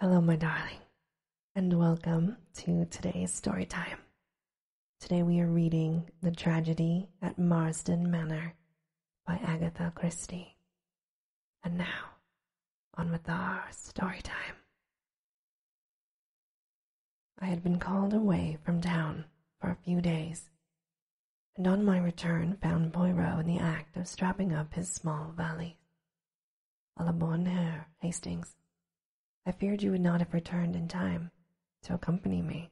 Hello, my darling, and welcome to today's story time. Today we are reading The Tragedy at Marsden Manor by Agatha Christie. And now, on with our story time. I had been called away from town for a few days, and on my return found Poirot in the act of strapping up his small valise. A la bonne heure, Hastings. I feared you would not have returned in time to accompany me.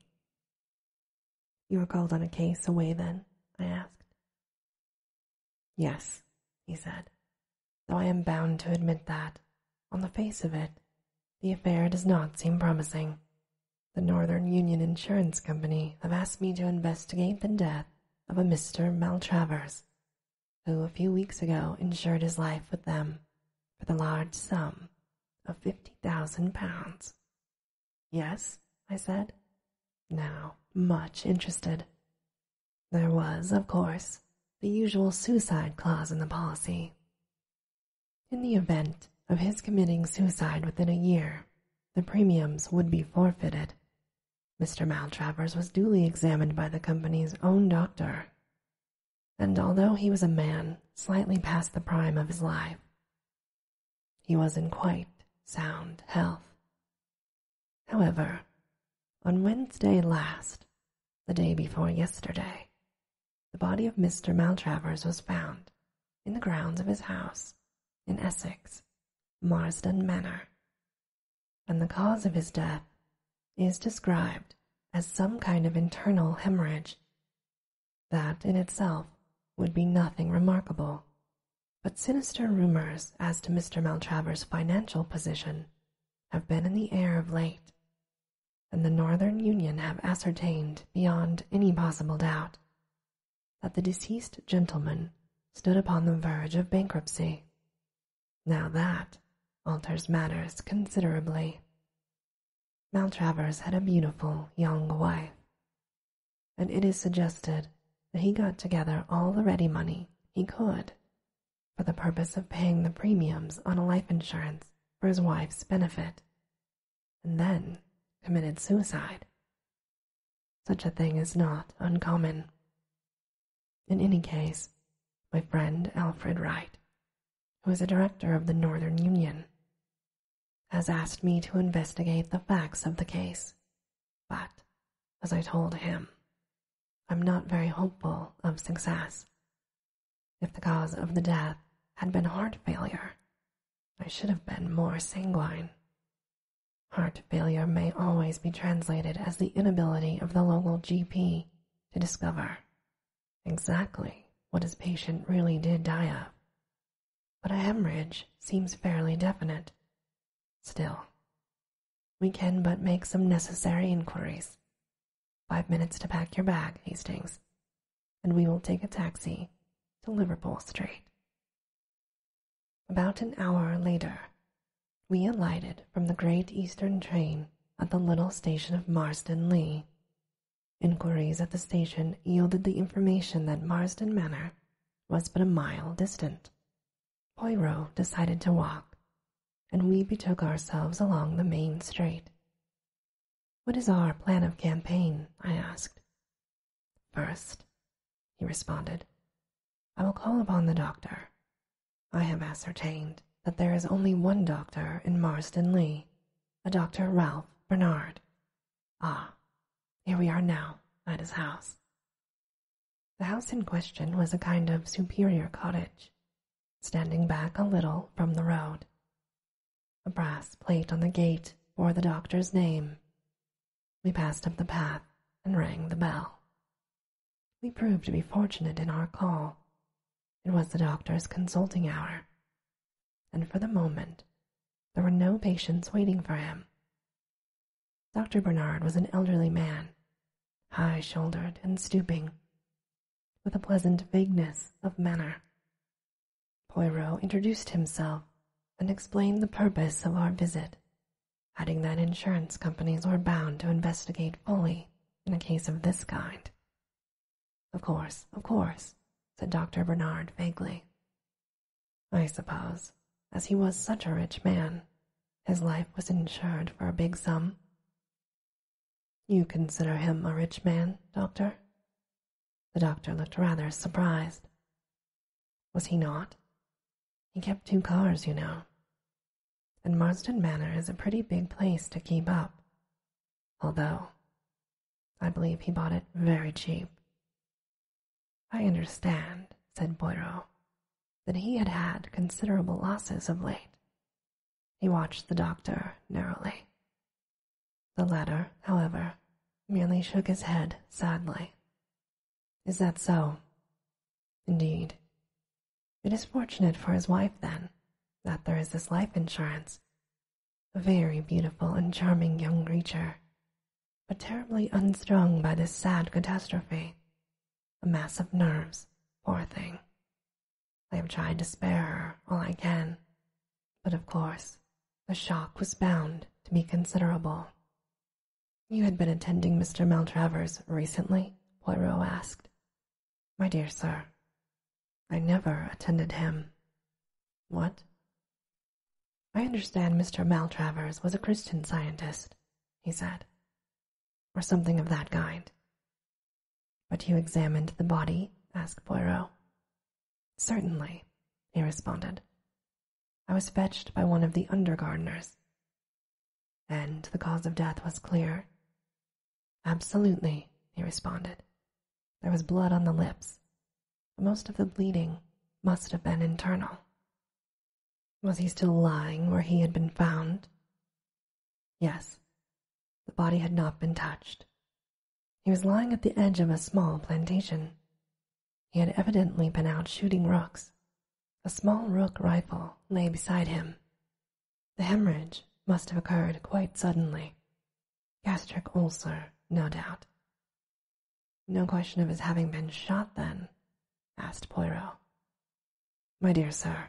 You were called on a case away then? I asked. Yes, he said, though I am bound to admit that, on the face of it, the affair does not seem promising. The Northern Union Insurance Company have asked me to investigate the death of a Mr. Maltravers, who a few weeks ago insured his life with them for the large sum of fifty thousand pounds. Yes, I said, now much interested. There was, of course, the usual suicide clause in the policy. In the event of his committing suicide within a year, the premiums would be forfeited, Mr. Maltravers was duly examined by the company's own doctor, and although he was a man slightly past the prime of his life, he was in quite sound health. However, on Wednesday last, the day before yesterday, the body of Mr. Maltravers was found in the grounds of his house in Essex, Marsden Manor, and the cause of his death is described as some kind of internal hemorrhage. That in itself would be nothing remarkable, but sinister rumors as to Mr. Maltravers' financial position have been in the air of late, and the Northern Union have ascertained beyond any possible doubt that the deceased gentleman stood upon the verge of bankruptcy. Now that alters matters considerably. Maltravers had a beautiful young wife, and it is suggested that he got together all the ready money he could for the purpose of paying the premiums on a life insurance for his wife's benefit, and then committed suicide. Such a thing is not uncommon. In any case, my friend Alfred Wright, who is a director of the Northern Union, has asked me to investigate the facts of the case, but, as I told him, I'm not very hopeful of success. If the cause of the death had been heart failure, I should have been more sanguine. Heart failure may always be translated as the inability of the local GP to discover exactly what his patient really did die of, but a hemorrhage seems fairly definite. Still, we can but make some necessary inquiries. Five minutes to pack your bag, Hastings, and we will take a taxi to Liverpool Street. About an hour later, we alighted from the Great Eastern train at the little station of Marsden Lee. Inquiries at the station yielded the information that Marsden Manor was but a mile distant. Poirot decided to walk, and we betook ourselves along the main street. What is our plan of campaign? I asked. First, he responded, I will call upon the doctor. I have ascertained that there is only one doctor in Marston Lee, a Dr. Ralph Bernard. Ah, here we are now at his house. The house in question was a kind of superior cottage, standing back a little from the road. A brass plate on the gate bore the doctor's name, we passed up the path and rang the bell. We proved to be fortunate in our call. It was the doctor's consulting hour, and for the moment there were no patients waiting for him. Dr. Bernard was an elderly man, high shouldered and stooping, with a pleasant vagueness of manner. Poirot introduced himself and explained the purpose of our visit adding that insurance companies were bound to investigate fully in a case of this kind. Of course, of course, said Dr. Bernard vaguely. I suppose, as he was such a rich man, his life was insured for a big sum. You consider him a rich man, doctor? The doctor looked rather surprised was he not? He kept two cars, you know. And Marston Manor is a pretty big place to keep up. Although, I believe he bought it very cheap. I understand, said Boiro, that he had had considerable losses of late. He watched the doctor narrowly. The latter, however, merely shook his head sadly. Is that so? Indeed. It is fortunate for his wife, then, that there is this life insurance. A very beautiful and charming young creature, but terribly unstrung by this sad catastrophe. A mass of nerves, poor thing. I have tried to spare her all I can, but of course, the shock was bound to be considerable. You had been attending Mr. Maltravers recently? Poirot asked. My dear sir, I never attended him. What? I understand Mr. Maltravers was a Christian scientist, he said, or something of that kind. But you examined the body? asked Poirot. Certainly, he responded. I was fetched by one of the under-gardeners. And the cause of death was clear. Absolutely, he responded. There was blood on the lips, most of the bleeding must have been internal. Was he still lying where he had been found? Yes, the body had not been touched. He was lying at the edge of a small plantation. He had evidently been out shooting rooks. A small rook rifle lay beside him. The hemorrhage must have occurred quite suddenly. Gastric ulcer, no doubt. No question of his having been shot then? asked Poirot. My dear sir,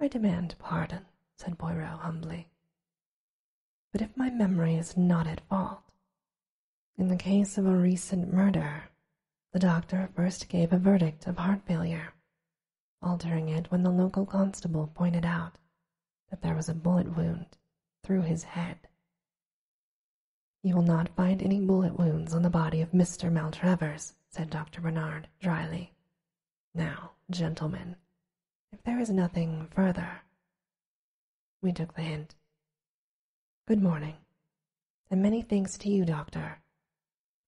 I demand pardon, said Poirot humbly. But if my memory is not at fault, in the case of a recent murder, the doctor first gave a verdict of heart failure, altering it when the local constable pointed out that there was a bullet wound through his head. You will not find any bullet wounds on the body of Mr. Maltravers, said Dr. Bernard dryly. Now, gentlemen, if there is nothing further. We took the hint. Good morning, and many thanks to you, Doctor,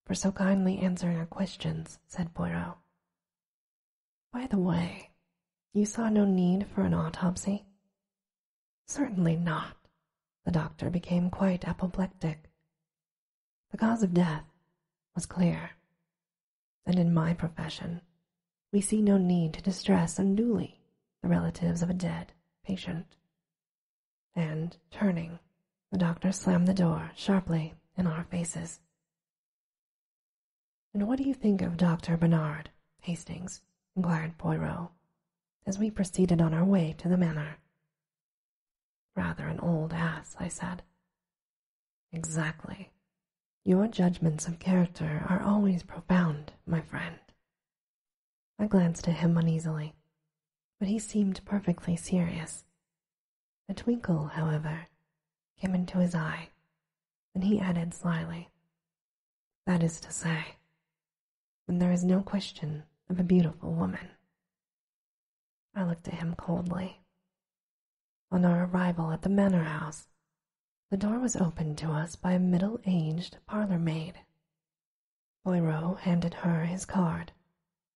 for so kindly answering our questions, said Poirot. By the way, you saw no need for an autopsy? Certainly not. The doctor became quite apoplectic. The cause of death was clear, and in my profession, we see no need to distress unduly the relatives of a dead patient. And, turning, the doctor slammed the door sharply in our faces. And what do you think of Dr. Bernard, Hastings? inquired Poirot, as we proceeded on our way to the manor. Rather an old ass, I said. Exactly. Your judgments of character are always profound, my friend. I glanced at him uneasily, but he seemed perfectly serious. A twinkle, however, came into his eye, and he added slyly, That is to say, when there is no question of a beautiful woman. I looked at him coldly. On our arrival at the manor house, the door was opened to us by a middle aged parlour maid Poirot handed her his card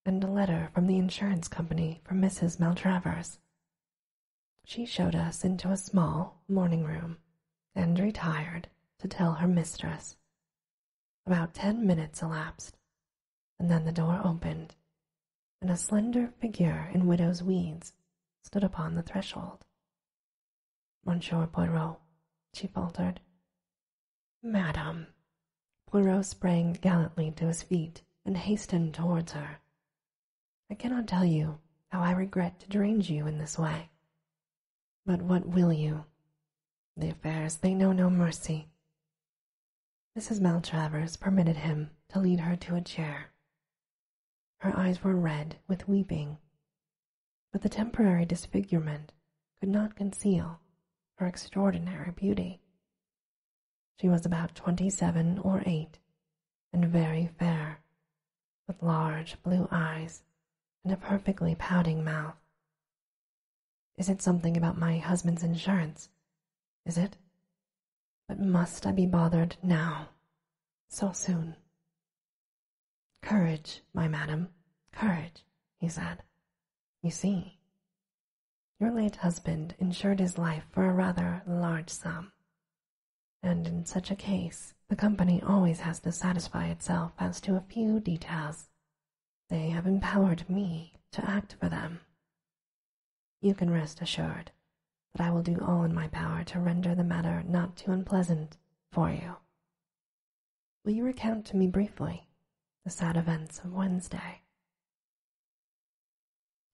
and a letter from the insurance company for Mrs. Maltravers. She showed us into a small morning room and retired to tell her mistress. About ten minutes elapsed, and then the door opened, and a slender figure in widow's weeds stood upon the threshold. Monsieur Poirot, she faltered. Madame. Poirot sprang gallantly to his feet and hastened towards her. I cannot tell you how I regret to drain you in this way. But what will you? The affairs, they know no mercy. Mrs. Maltravers permitted him to lead her to a chair. Her eyes were red with weeping but the temporary disfigurement could not conceal her extraordinary beauty. She was about twenty-seven or eight, and very fair, with large blue eyes and a perfectly pouting mouth. Is it something about my husband's insurance? Is it? But must I be bothered now, so soon? Courage, my madam, courage, he said. You see, your late husband insured his life for a rather large sum, and in such a case the company always has to satisfy itself as to a few details. They have empowered me to act for them. You can rest assured that I will do all in my power to render the matter not too unpleasant for you Will you recount to me briefly the sad events of Wednesday?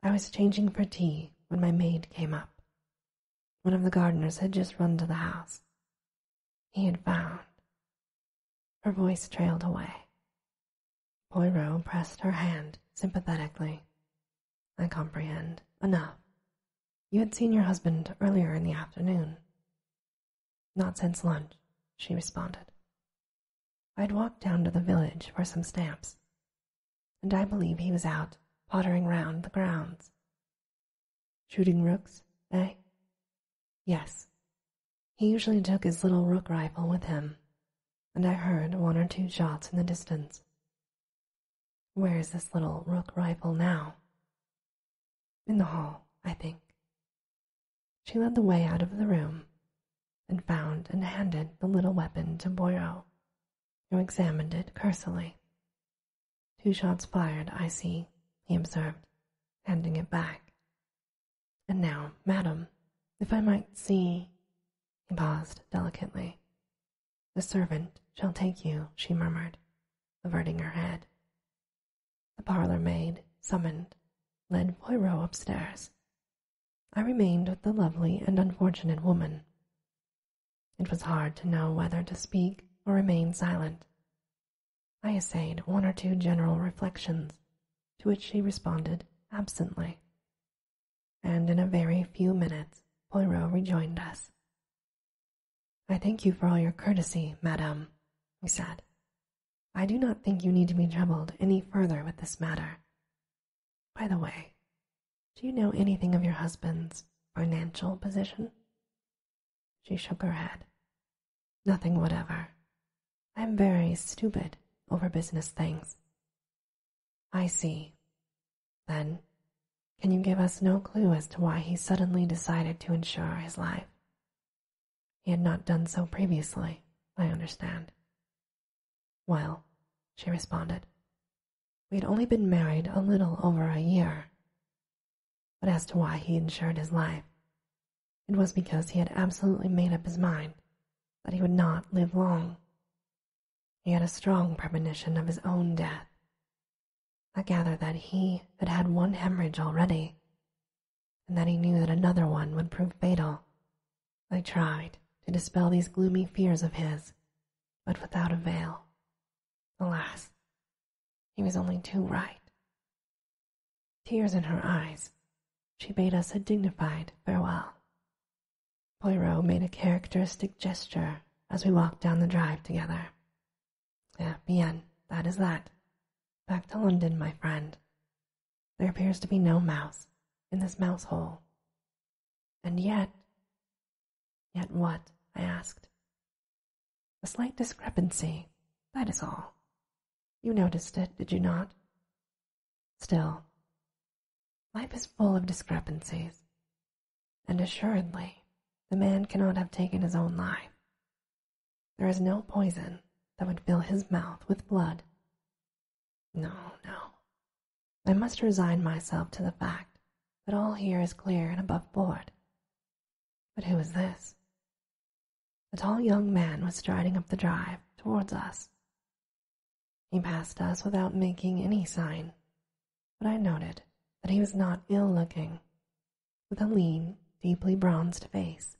I was changing for tea when my maid came up. One of the gardeners had just run to the house. He had found. Her voice trailed away. Poirot pressed her hand sympathetically. I comprehend. Enough. You had seen your husband earlier in the afternoon. Not since lunch, she responded. I had walked down to the village for some stamps, and I believe he was out pottering round the grounds. Shooting rooks, eh? Yes. He usually took his little rook rifle with him, and I heard one or two shots in the distance. Where is this little rook rifle now? In the hall, I think. She led the way out of the room, and found and handed the little weapon to Boireau, who examined it cursorily. Two shots fired, I see, he observed, handing it back. And now, madam, if I might see... He paused delicately, the servant shall take you, she murmured, averting her head. The parlour maid, summoned, led Poirot upstairs. I remained with the lovely and unfortunate woman. It was hard to know whether to speak or remain silent. I essayed one or two general reflections, to which she responded absently. And in a very few minutes, Poirot rejoined us. I thank you for all your courtesy, Madame," he said. I do not think you need to be troubled any further with this matter. By the way, do you know anything of your husband's financial position? She shook her head. Nothing whatever. I am very stupid over business things. I see. Then can you give us no clue as to why he suddenly decided to insure his life? He had not done so previously, I understand. Well, she responded, we had only been married a little over a year. But as to why he insured his life, it was because he had absolutely made up his mind that he would not live long. He had a strong premonition of his own death, I gathered that he had had one hemorrhage already, and that he knew that another one would prove fatal. I tried to dispel these gloomy fears of his, but without avail. Alas, he was only too right. Tears in her eyes, she bade us a dignified farewell. Poirot made a characteristic gesture as we walked down the drive together. Eh, bien, that is that. Back to London, my friend. There appears to be no mouse in this mouse hole. And yet. Yet what? I asked. A slight discrepancy, that is all. You noticed it, did you not? Still, life is full of discrepancies and assuredly the man cannot have taken his own life. There is no poison that would fill his mouth with blood. No, no. I must resign myself to the fact that all here is clear and above board. But who is this? A tall young man was striding up the drive towards us. He passed us without making any sign, but I noted that he was not ill-looking, with a lean, deeply bronzed face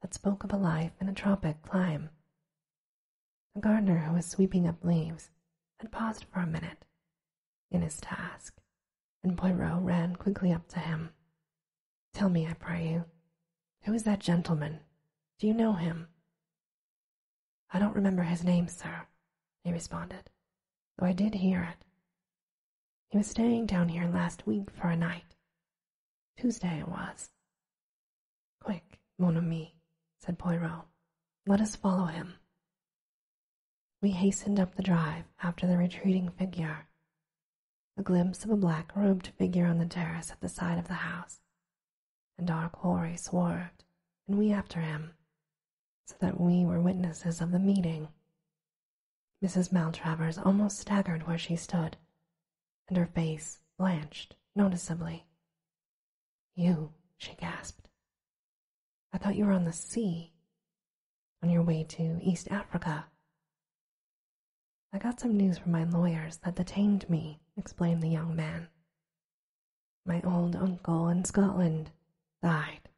that spoke of a life in a tropic clime. A gardener who was sweeping up leaves had paused for a minute in his task, and Poirot ran quickly up to him. Tell me, I pray you, who is that gentleman? Do you know him? I don't remember his name, sir, he responded, though I did hear it. He was staying down here last week for a night. Tuesday it was. Quick, mon ami, said Poirot. Let us follow him. We hastened up the drive after the retreating figure. A glimpse of a black-robed figure on the terrace at the side of the house, and our quarry swerved, and we after him, so that we were witnesses of the meeting. Mrs. Maltravers almost staggered where she stood, and her face blanched noticeably. You, she gasped. I thought you were on the sea, on your way to East Africa. I got some news from my lawyers that detained me, explained the young man. My old uncle in Scotland died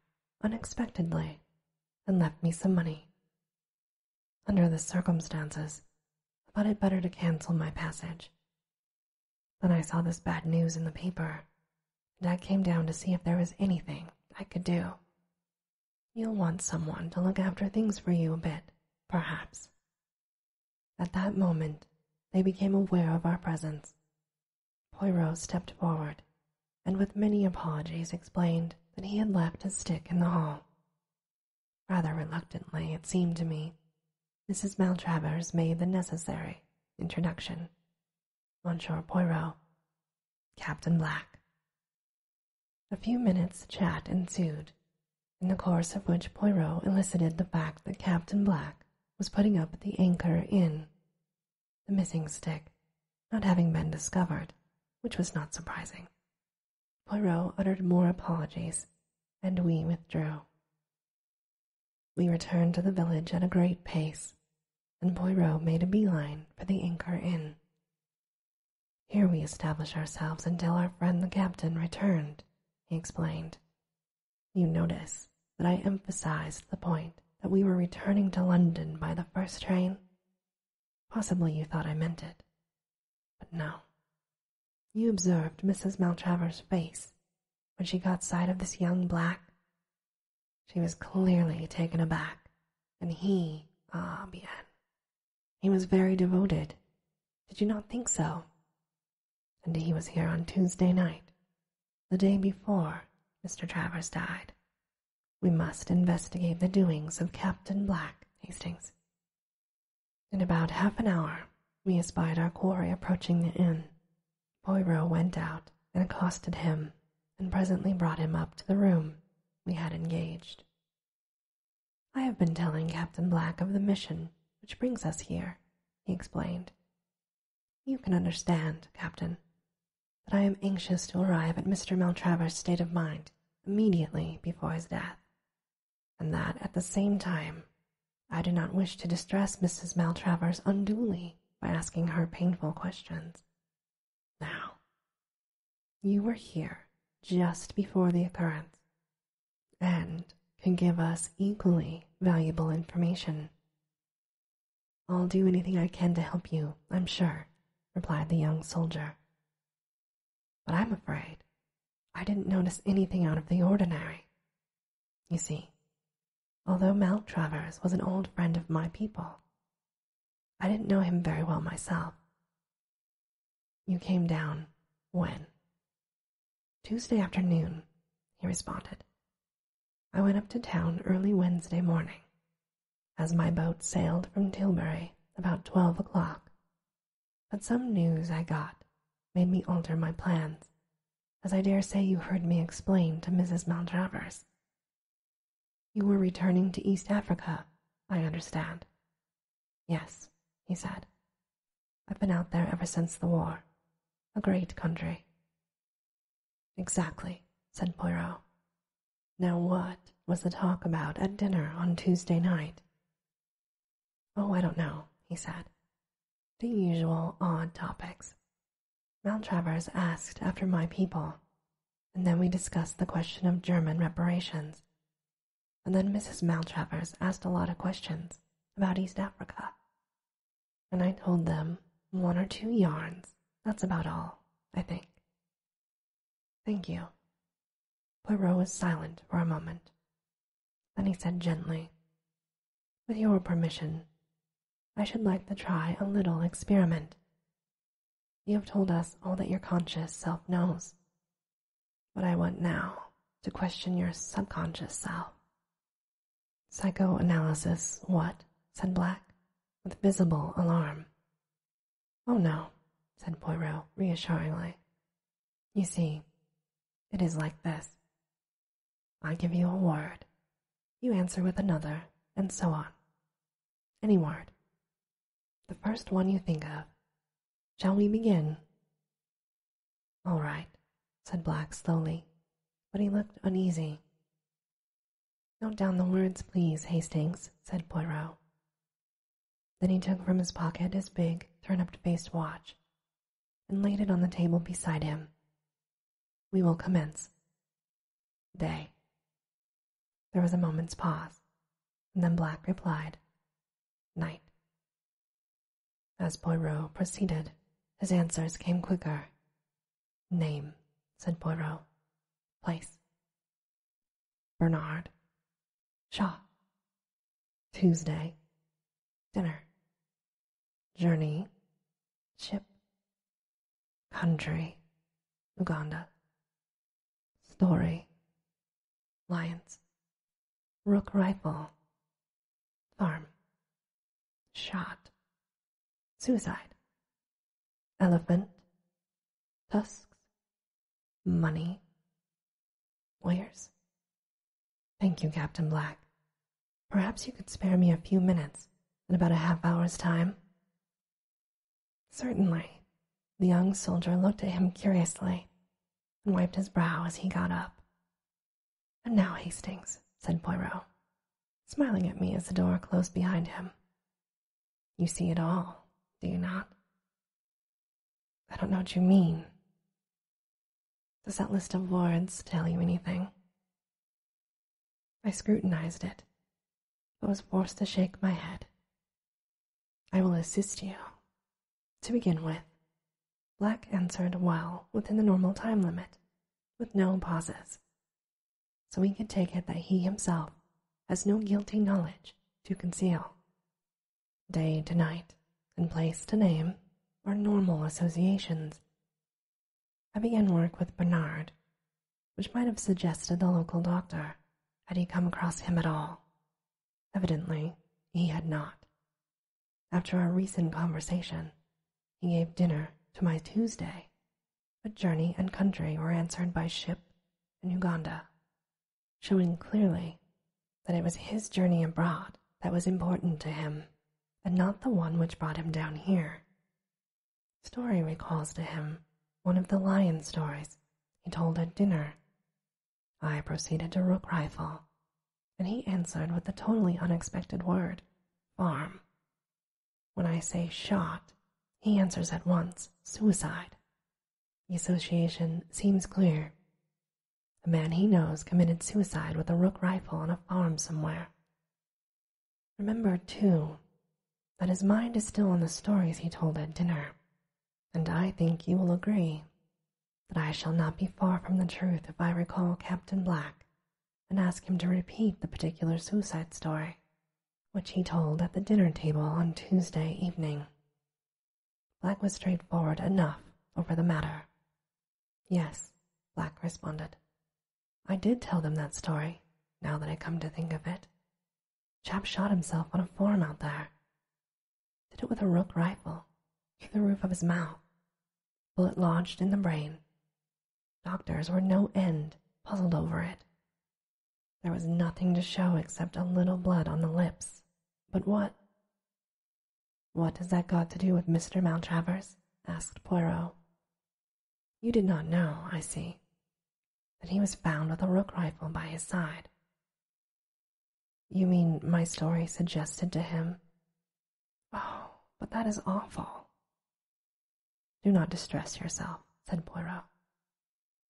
unexpectedly and left me some money. Under the circumstances, I thought it better to cancel my passage. Then I saw this bad news in the paper, and I came down to see if there was anything I could do. You'll want someone to look after things for you a bit, perhaps. At that moment, they became aware of our presence Poirot stepped forward, and with many apologies explained that he had left his stick in the hall. Rather reluctantly, it seemed to me, Mrs. Maltravers made the necessary introduction. Monsieur Poirot, Captain Black. A few minutes' chat ensued, in the course of which Poirot elicited the fact that Captain Black was putting up at the Anchor Inn, the missing stick not having been discovered, which was not surprising. Poirot uttered more apologies, and we withdrew. We returned to the village at a great pace, and Poirot made a beeline for the Anchor Inn. Here we established ourselves until our friend the captain returned, he explained. You notice that I emphasized the point that we were returning to London by the first train. Possibly you thought I meant it, but no. You observed Mrs. Maltravers' face when she got sight of this young black. She was clearly taken aback, and he, ah, bien, he was very devoted. Did you not think so? And he was here on Tuesday night, the day before Mr. Travers died, we must investigate the doings of Captain Black Hastings. In about half an hour, we espied our quarry approaching the inn. Poirot went out and accosted him, and presently brought him up to the room we had engaged. I have been telling Captain Black of the mission which brings us here, he explained. You can understand, Captain, that I am anxious to arrive at Mr. Maltravers's state of mind immediately before his death, and that at the same time I do not wish to distress Mrs. Maltravers unduly by asking her painful questions. Now, you were here just before the occurrence and can give us equally valuable information. I'll do anything I can to help you, I'm sure, replied the young soldier. But I'm afraid I didn't notice anything out of the ordinary. You see, although Mount was an old friend of my people, I didn't know him very well myself. You came down when? Tuesday afternoon, he responded, I went up to town early Wednesday morning, as my boat sailed from Tilbury about twelve o'clock. But some news I got made me alter my plans, as I dare say you heard me explain to Mrs. Maltravers. You were returning to East Africa, I understand. Yes, he said. I've been out there ever since the war. A great country. Exactly, said Poirot. Now, what was the talk about at dinner on Tuesday night? Oh, I don't know, he said. The usual odd topics. Maltravers asked after my people, and then we discussed the question of German reparations. And then Mrs. Maltravers asked a lot of questions about East Africa and I told them one or two yarns. That's about all, I think. Thank you. Poirot was silent for a moment. Then he said gently, With your permission, I should like to try a little experiment. You have told us all that your conscious self knows. But I want now to question your subconscious self. Psychoanalysis, what? said Black, with visible alarm. Oh no, said Poirot reassuringly. You see, it is like this. I give you a word, you answer with another, and so on. Any word. The first one you think of. Shall we begin? All right, said Black slowly, but he looked uneasy. Note down the words, please, Hastings, said Poirot. Then he took from his pocket his big, turnip-faced watch and laid it on the table beside him. We will commence. Day. There was a moment's pause, and then Black replied, Night. As Poirot proceeded, his answers came quicker, Name, said Poirot. Place. Bernard. Shaw. Tuesday. Dinner. Journey. Ship. Country. Uganda. Story. Lions. Rook rifle. Farm. Shot. Suicide. Elephant. Tusks. Money. Wires. Thank you, Captain Black. Perhaps you could spare me a few minutes in about a half hour's time. Certainly. The young soldier looked at him curiously and wiped his brow as he got up. And now, Hastings, said Poirot, smiling at me as the door closed behind him. You see it all, do you not? I don't know what you mean. Does that list of wards tell you anything? I scrutinized it, but was forced to shake my head. I will assist you. To begin with, Black answered well within the normal time limit, with no pauses, so we can take it that he himself has no guilty knowledge to conceal. Day to night, and place to name, are normal associations. I began work with Bernard, which might have suggested the local doctor had he come across him at all. Evidently, he had not. After our recent conversation, he gave dinner to my Tuesday a journey and country were answered by ship and Uganda, showing clearly that it was his journey abroad that was important to him, and not the one which brought him down here. Story recalls to him one of the lion stories he told at dinner. I proceeded to Rook Rifle, and he answered with the totally unexpected word, farm. When I say shot, he answers at once suicide. The association seems clear. The man he knows committed suicide with a rook rifle on a farm somewhere. Remember, too, that his mind is still on the stories he told at dinner, and I think you will agree that I shall not be far from the truth if I recall Captain Black and ask him to repeat the particular suicide story, which he told at the dinner table on Tuesday evening. Black was straightforward enough over the matter. Yes, Black responded. I did tell them that story, now that I come to think of it. Chap shot himself on a farm out there. Did it with a rook rifle, through the roof of his mouth. Bullet lodged in the brain. Doctors were no end puzzled over it. There was nothing to show except a little blood on the lips. But what? What has that got to do with Mr. Maltravers? asked Poirot. You did not know, I see, that he was found with a rook rifle by his side. You mean my story suggested to him? Oh, but that is awful. Do not distress yourself, said Poirot.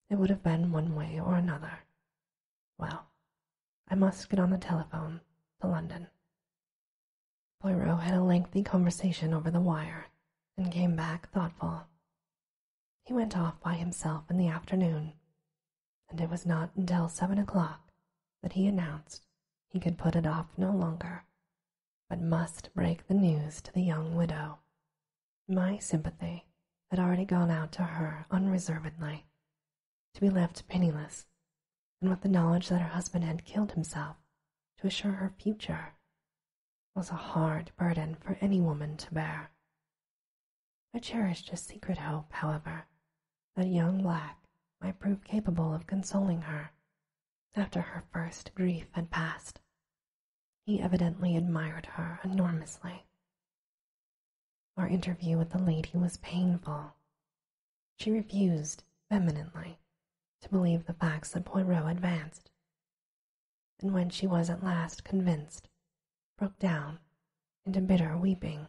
It would have been one way or another. Well, I must get on the telephone to London. Poirot had a lengthy conversation over the wire and came back thoughtful. He went off by himself in the afternoon, and it was not until seven o'clock that he announced he could put it off no longer but must break the news to the young widow. My sympathy had already gone out to her unreservedly, to be left penniless, and with the knowledge that her husband had killed himself to assure her future was a hard burden for any woman to bear. I cherished a secret hope, however, that young Black might prove capable of consoling her after her first grief had passed. He evidently admired her enormously. Our interview with the lady was painful. She refused, vehemently, to believe the facts that Poirot advanced, and when she was at last convinced, broke down into bitter weeping.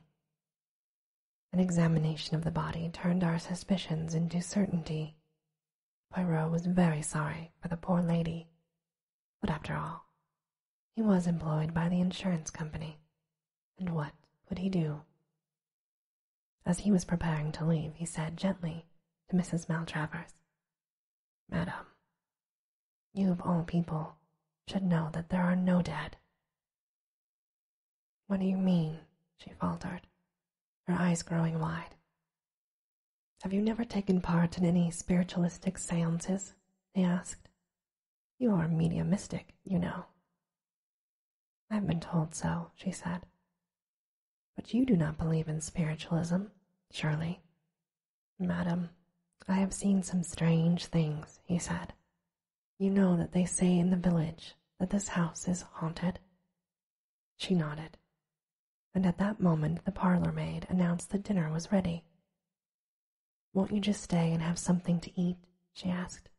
An examination of the body turned our suspicions into certainty Poirot was very sorry for the poor lady, but after all, he was employed by the insurance company, and what would he do? As he was preparing to leave, he said gently to Mrs. Maltravers, Madam, you of all people should know that there are no dead. What do you mean? she faltered, her eyes growing wide. Have you never taken part in any spiritualistic seances? He asked. You are mediumistic, you know. I've been told so, she said. But you do not believe in spiritualism, surely. Madam, I have seen some strange things, he said. You know that they say in the village that this house is haunted. She nodded, and at that moment the parlour maid announced that dinner was ready. Won't you just stay and have something to eat? she asked.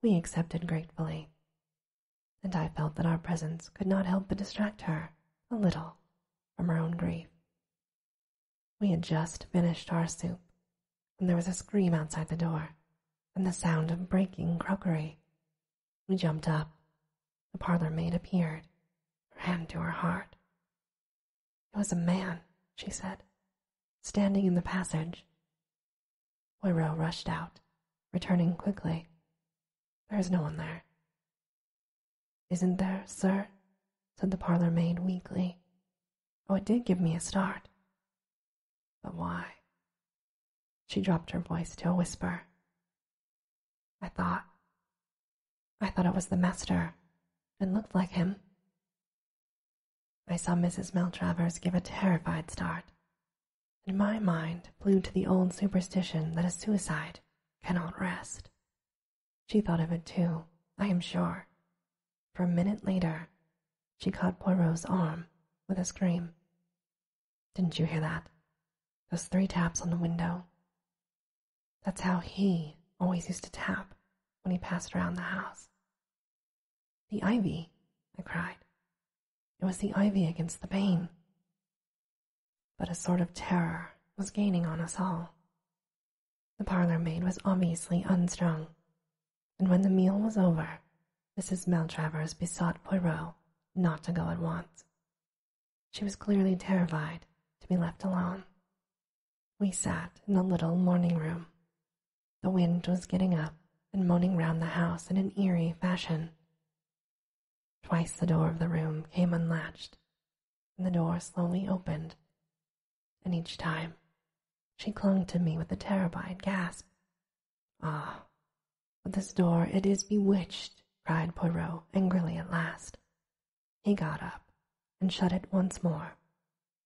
We accepted gratefully, and I felt that our presence could not help but distract her a little from her own grief. We had just finished our soup when there was a scream outside the door and the sound of breaking crockery we jumped up. The parlor maid appeared, her hand to her heart. It was a man, she said, standing in the passage. Poirot rushed out, returning quickly. There is no one there. Isn't there, sir? said the parlor maid weakly. Oh, it did give me a start. But why? She dropped her voice to a whisper. I thought. I thought it was the master and looked like him. I saw Mrs. Maltravers give a terrified start, and my mind flew to the old superstition that a suicide cannot rest. She thought of it too, I am sure, for a minute later she caught Poirot's arm with a scream. Didn't you hear that? Those three taps on the window. That's how he always used to tap when he passed around the house. The ivy, I cried. It was the ivy against the pane. But a sort of terror was gaining on us all. The parlour maid was obviously unstrung, and when the meal was over, Mrs. Maltravers besought Poirot not to go at once. She was clearly terrified to be left alone. We sat in the little morning room. The wind was getting up and moaning round the house in an eerie fashion. Twice the door of the room came unlatched, and the door slowly opened, and each time she clung to me with a terrified gasp. Ah, this door, it is bewitched, cried Poirot angrily at last. He got up and shut it once more,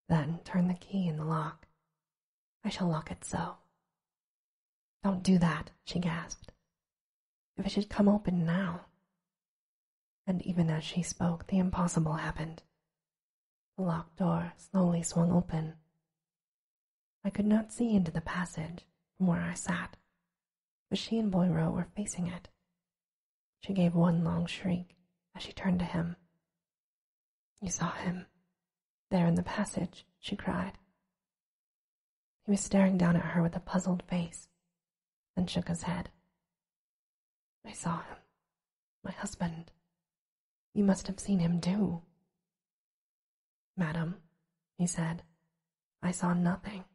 then turned the key in the lock. I shall lock it so. Don't do that, she gasped. If it should come open now. And even as she spoke, the impossible happened. The locked door slowly swung open. I could not see into the passage from where I sat, but she and Boyro were facing it. She gave one long shriek as she turned to him. You saw him. There in the passage, she cried. He was staring down at her with a puzzled face, then shook his head. I saw him. My husband. You must have seen him too. Madam, he said, I saw nothing.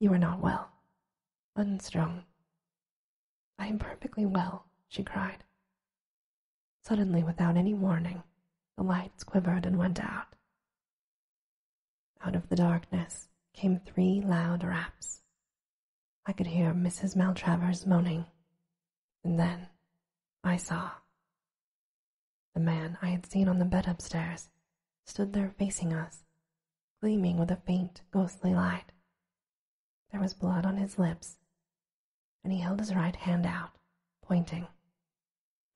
You are not well, unstrung. I am perfectly well, she cried. Suddenly, without any warning, the lights quivered and went out. Out of the darkness came three loud raps. I could hear Mrs. Maltravers moaning, and then I saw the man I had seen on the bed upstairs stood there facing us, gleaming with a faint, ghostly light. There was blood on his lips, and he held his right hand out, pointing.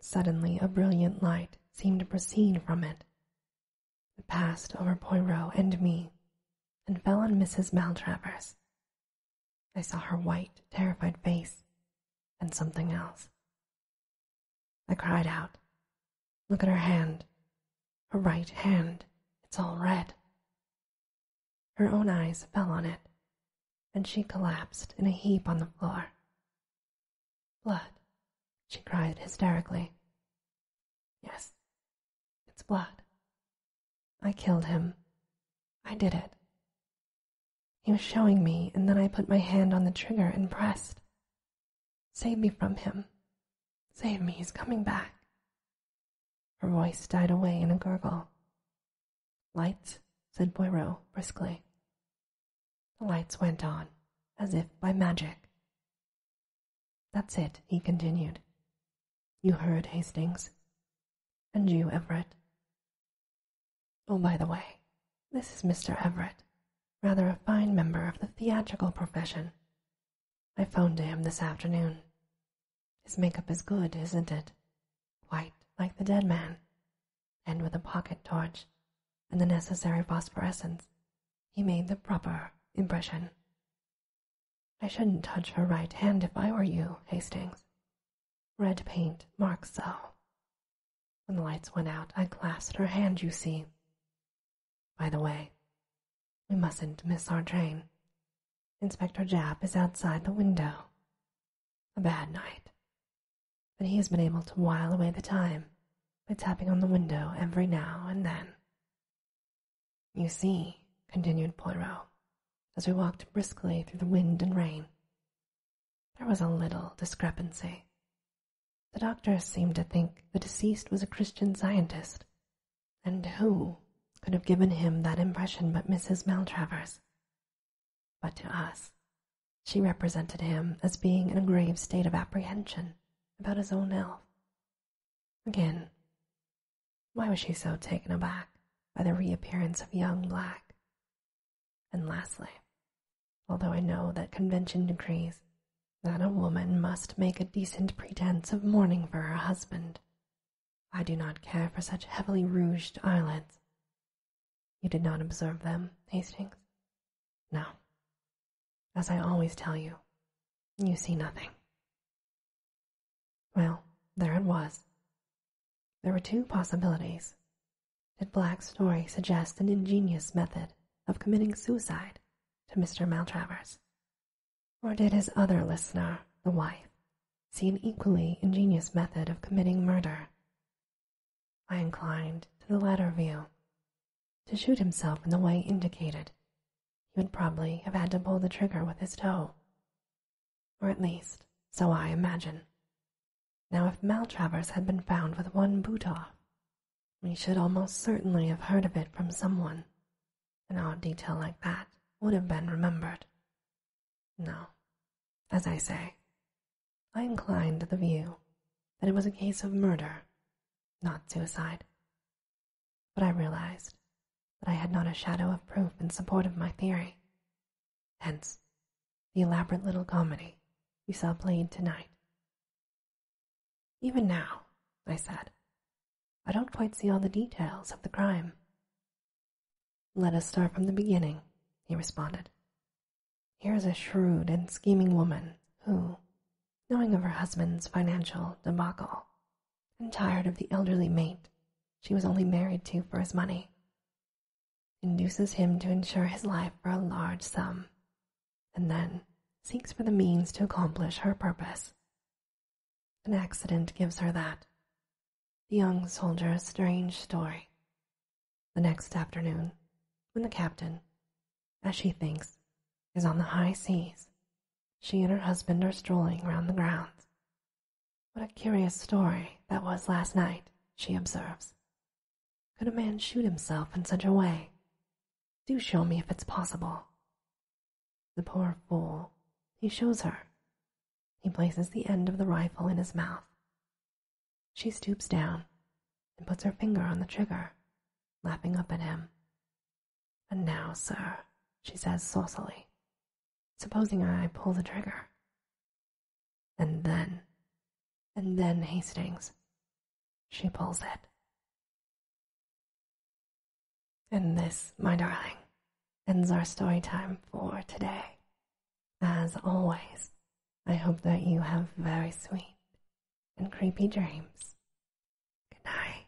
Suddenly, a brilliant light seemed to proceed from it. passed over Poirot and me and fell on Mrs. Maltravers. I saw her white, terrified face and something else. I cried out, Look at her hand, her right hand, it's all red. Her own eyes fell on it, and she collapsed in a heap on the floor. Blood, she cried hysterically. Yes, it's blood. I killed him. I did it. He was showing me, and then I put my hand on the trigger and pressed. Save me from him. Save me, he's coming back. Her voice died away in a gurgle. Lights, said Poirot briskly. The lights went on, as if by magic. That's it, he continued. You heard Hastings, and you, Everett. Oh, by the way, this is Mr. Everett, rather a fine member of the theatrical profession. I phoned to him this afternoon. His makeup is good, isn't it? White, like the dead man. And with a pocket torch and the necessary phosphorescence, he made the proper impression. I shouldn't touch her right hand if I were you, Hastings. Red paint marks so. When the lights went out, I clasped her hand, you see. By the way, we mustn't miss our train. Inspector Japp is outside the window. A bad night. But he has been able to while away the time by tapping on the window every now and then. You see, continued Poirot, as we walked briskly through the wind and rain, there was a little discrepancy. The doctors seemed to think the deceased was a Christian scientist, and who could have given him that impression but Mrs. Maltravers? But to us, she represented him as being in a grave state of apprehension about his own health. Again, why was she so taken aback by the reappearance of young Black? And lastly, although I know that convention decrees that a woman must make a decent pretense of mourning for her husband, I do not care for such heavily rouged eyelids. You did not observe them, Hastings? No. As I always tell you, you see nothing. Well, there it was, there were two possibilities. Did Black's story suggest an ingenious method of committing suicide to Mr. Maltravers? Or did his other listener, the wife, see an equally ingenious method of committing murder? I inclined to the latter view. To shoot himself in the way indicated, he would probably have had to pull the trigger with his toe. Or at least, so I imagine. Now, if Maltravers had been found with one boot off, we should almost certainly have heard of it from someone. An odd detail like that would have been remembered. No, as I say, I inclined to the view that it was a case of murder, not suicide. But I realized that I had not a shadow of proof in support of my theory. Hence, the elaborate little comedy we saw played tonight. Even now, I said, I don't quite see all the details of the crime. Let us start from the beginning, he responded. Here is a shrewd and scheming woman who, knowing of her husband's financial debacle, and tired of the elderly mate she was only married to for his money, induces him to insure his life for a large sum, and then seeks for the means to accomplish her purpose. An accident gives her that. The young soldier's strange story. The next afternoon, when the captain, as she thinks, is on the high seas, she and her husband are strolling round the grounds. What a curious story that was last night, she observes, could a man shoot himself in such a way? Do show me if it's possible. The poor fool, he shows her. He places the end of the rifle in his mouth. She stoops down and puts her finger on the trigger, laughing up at him. And now, sir, she says saucily, supposing I pull the trigger. And then, and then Hastings, she pulls it. And this, my darling, ends our story time for today. As always, I hope that you have very sweet and creepy dreams. Good night.